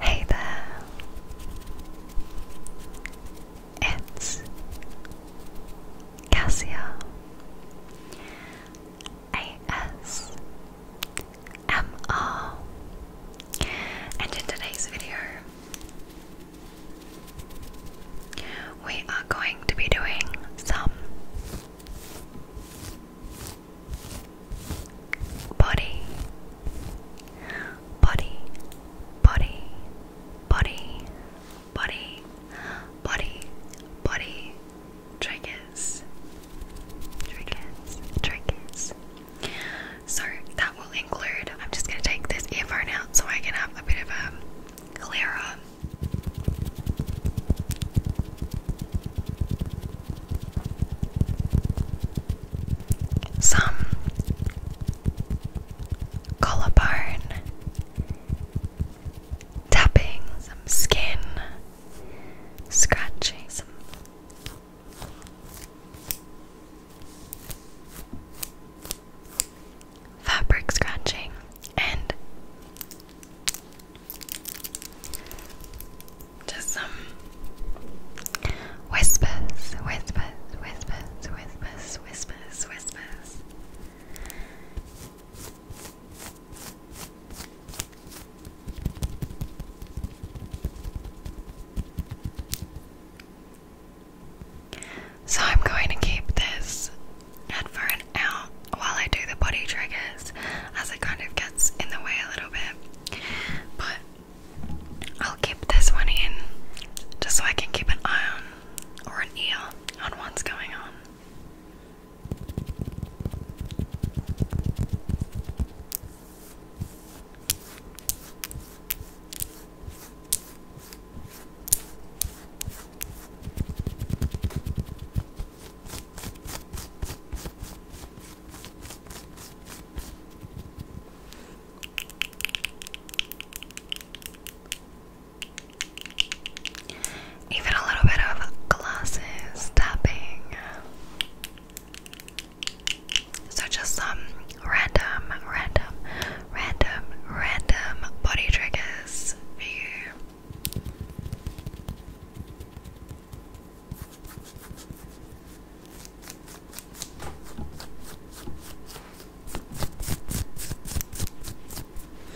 Hey there. It's Cassia AS and in today's video we are going to be doing some body, body, body, body, body, body, body, triggers, triggers, triggers. So that will include, I'm just going to take this earphone out so I can have a bit of a um, clearer some collarbarn tapping, some skin scratching, some fabric scratching, and just some whispers, whispers, whispers, whispers, whispers, whispers. So I'm going to keep this headphone out while I do the body triggers as it kind of gets in the way a little bit. But I'll keep this one in just so I can keep an eye on or an ear on what's going on. Even a little bit of glasses tapping. So just some random, random, random, random body triggers for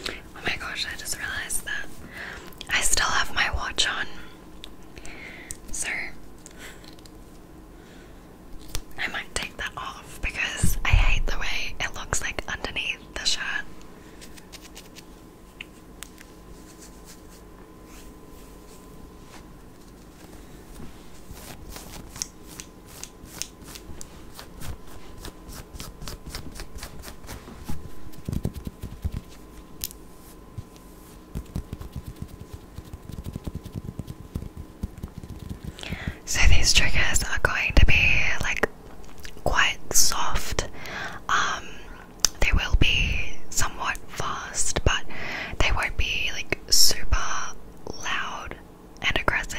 Oh my gosh, I just realized that I still have my watch on. So I might take that off because I hate the way it looks like underneath the shirt. So these triggers are going to be like quite soft. Um, they will be somewhat fast, but they won't be like super loud and aggressive.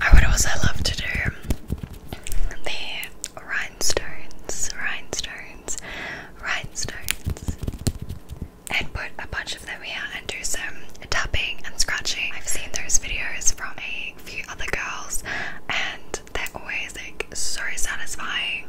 I would always love to do the rhinestones, rhinestones, rhinestones, and put a bunch of them here and do some tapping and scratching. I've seen those videos from a few other girls, and they're always like so satisfying.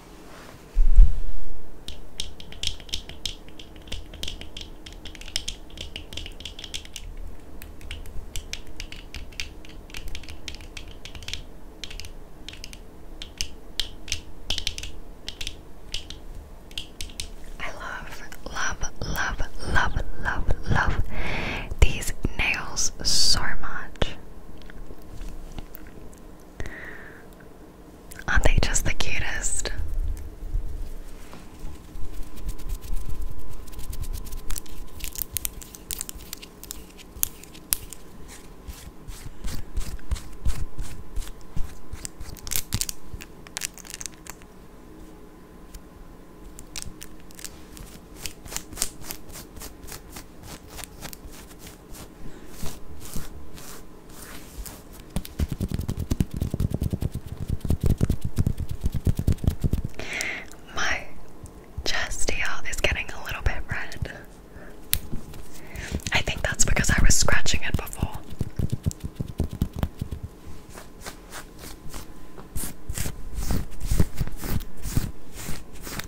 I love, love, love, love, love, love these nails so much. Aren't they just the cutest? My chest here is getting a little bit red. I think that's because I was scratching it before.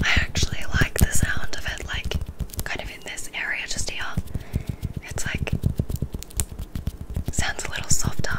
I actually like the sound of it, like kind of in this area just here. It's like sounds a little softer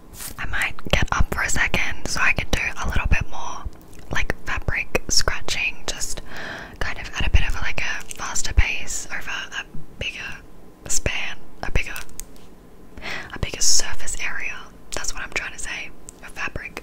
I might get up for a second so I can do a little bit more like fabric scratching, just kind of at a bit of a, like a faster pace over a bigger span, a bigger, a bigger surface area. That's what I'm trying to say. A fabric.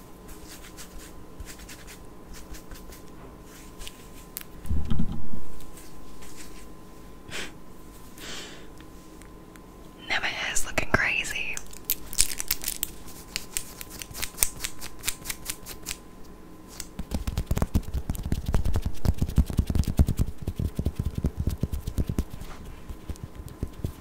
now looking crazy.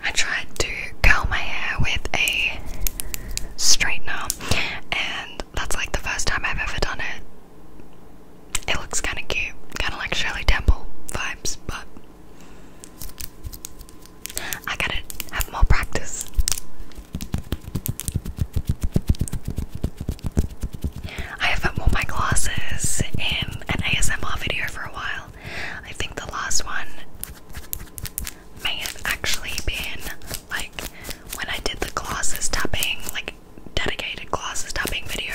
I tried to curl my hair with a straightener, and that's like the first time I've ever done it. It looks kind of cute, kind of like Shirley Temple vibes, but I gotta have more practice. I haven't worn my glasses in an ASMR video for a while. I think the last one may have actually been like when I did the glasses tapping, like dedicated glasses tapping video.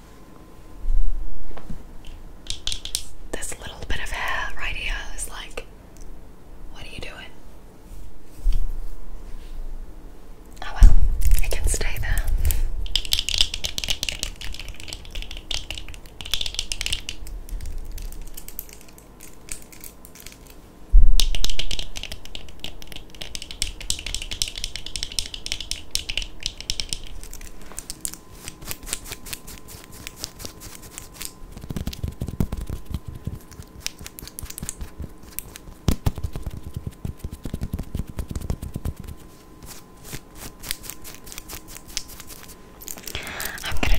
This little bit of hair right here is like, what are you doing? Oh well, it can stay there. I'm gonna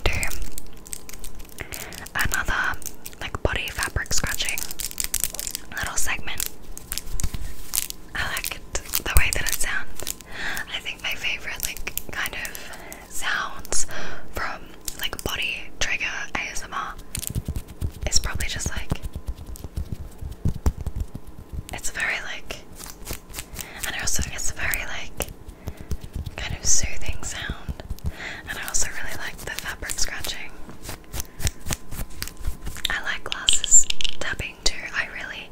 do another like body fabric scratching little segment. I like it, the way that it sounds. I think my favorite like kind of sounds from like body trigger ASMR is probably just like it's a very like and also it's a very like kind of soothing sound and I also really like the fabric scratching. I like glasses tapping. I really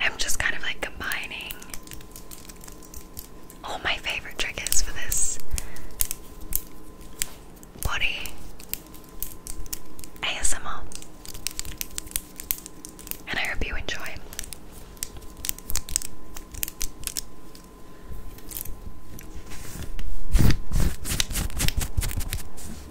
am just kind of like combining all my favorite triggers for this body ASMR. And I hope you enjoy.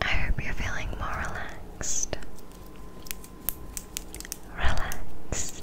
I hope you're feeling more relaxed. Relaxed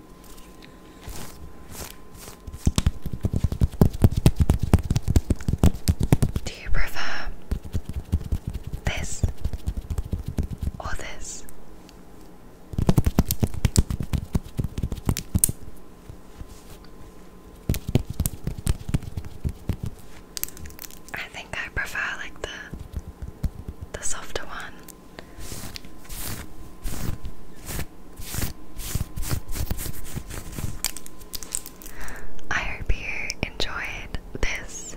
Do you prefer this or this? I think I prefer like the the softer one. I hope you enjoyed this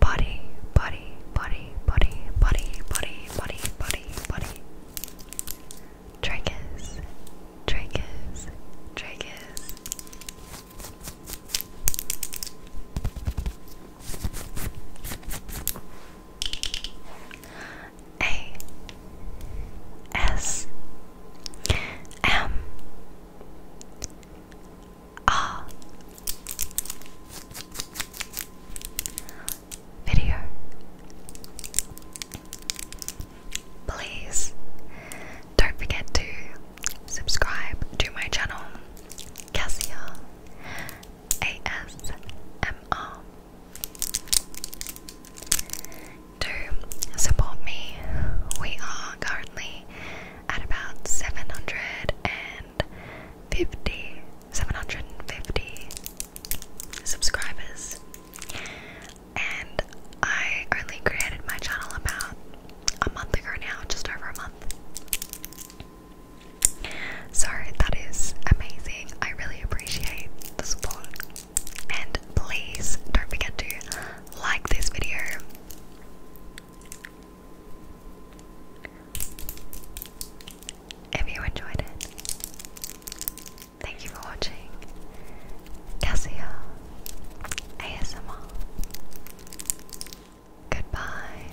body, body, body, body, body, body, body, body, body. Triggers, triggers, triggers. A S M R video. Please don't forget to subscribe to my channel, Cassia ASMR. To support me, we are currently at about 750, subscribers, and I only created my channel about a month ago now, just over a month. So that is amazing. I really appreciate the support. And please don't forget to like this video. If you enjoyed it, thank you for watching. Cassia ASMR. Goodbye.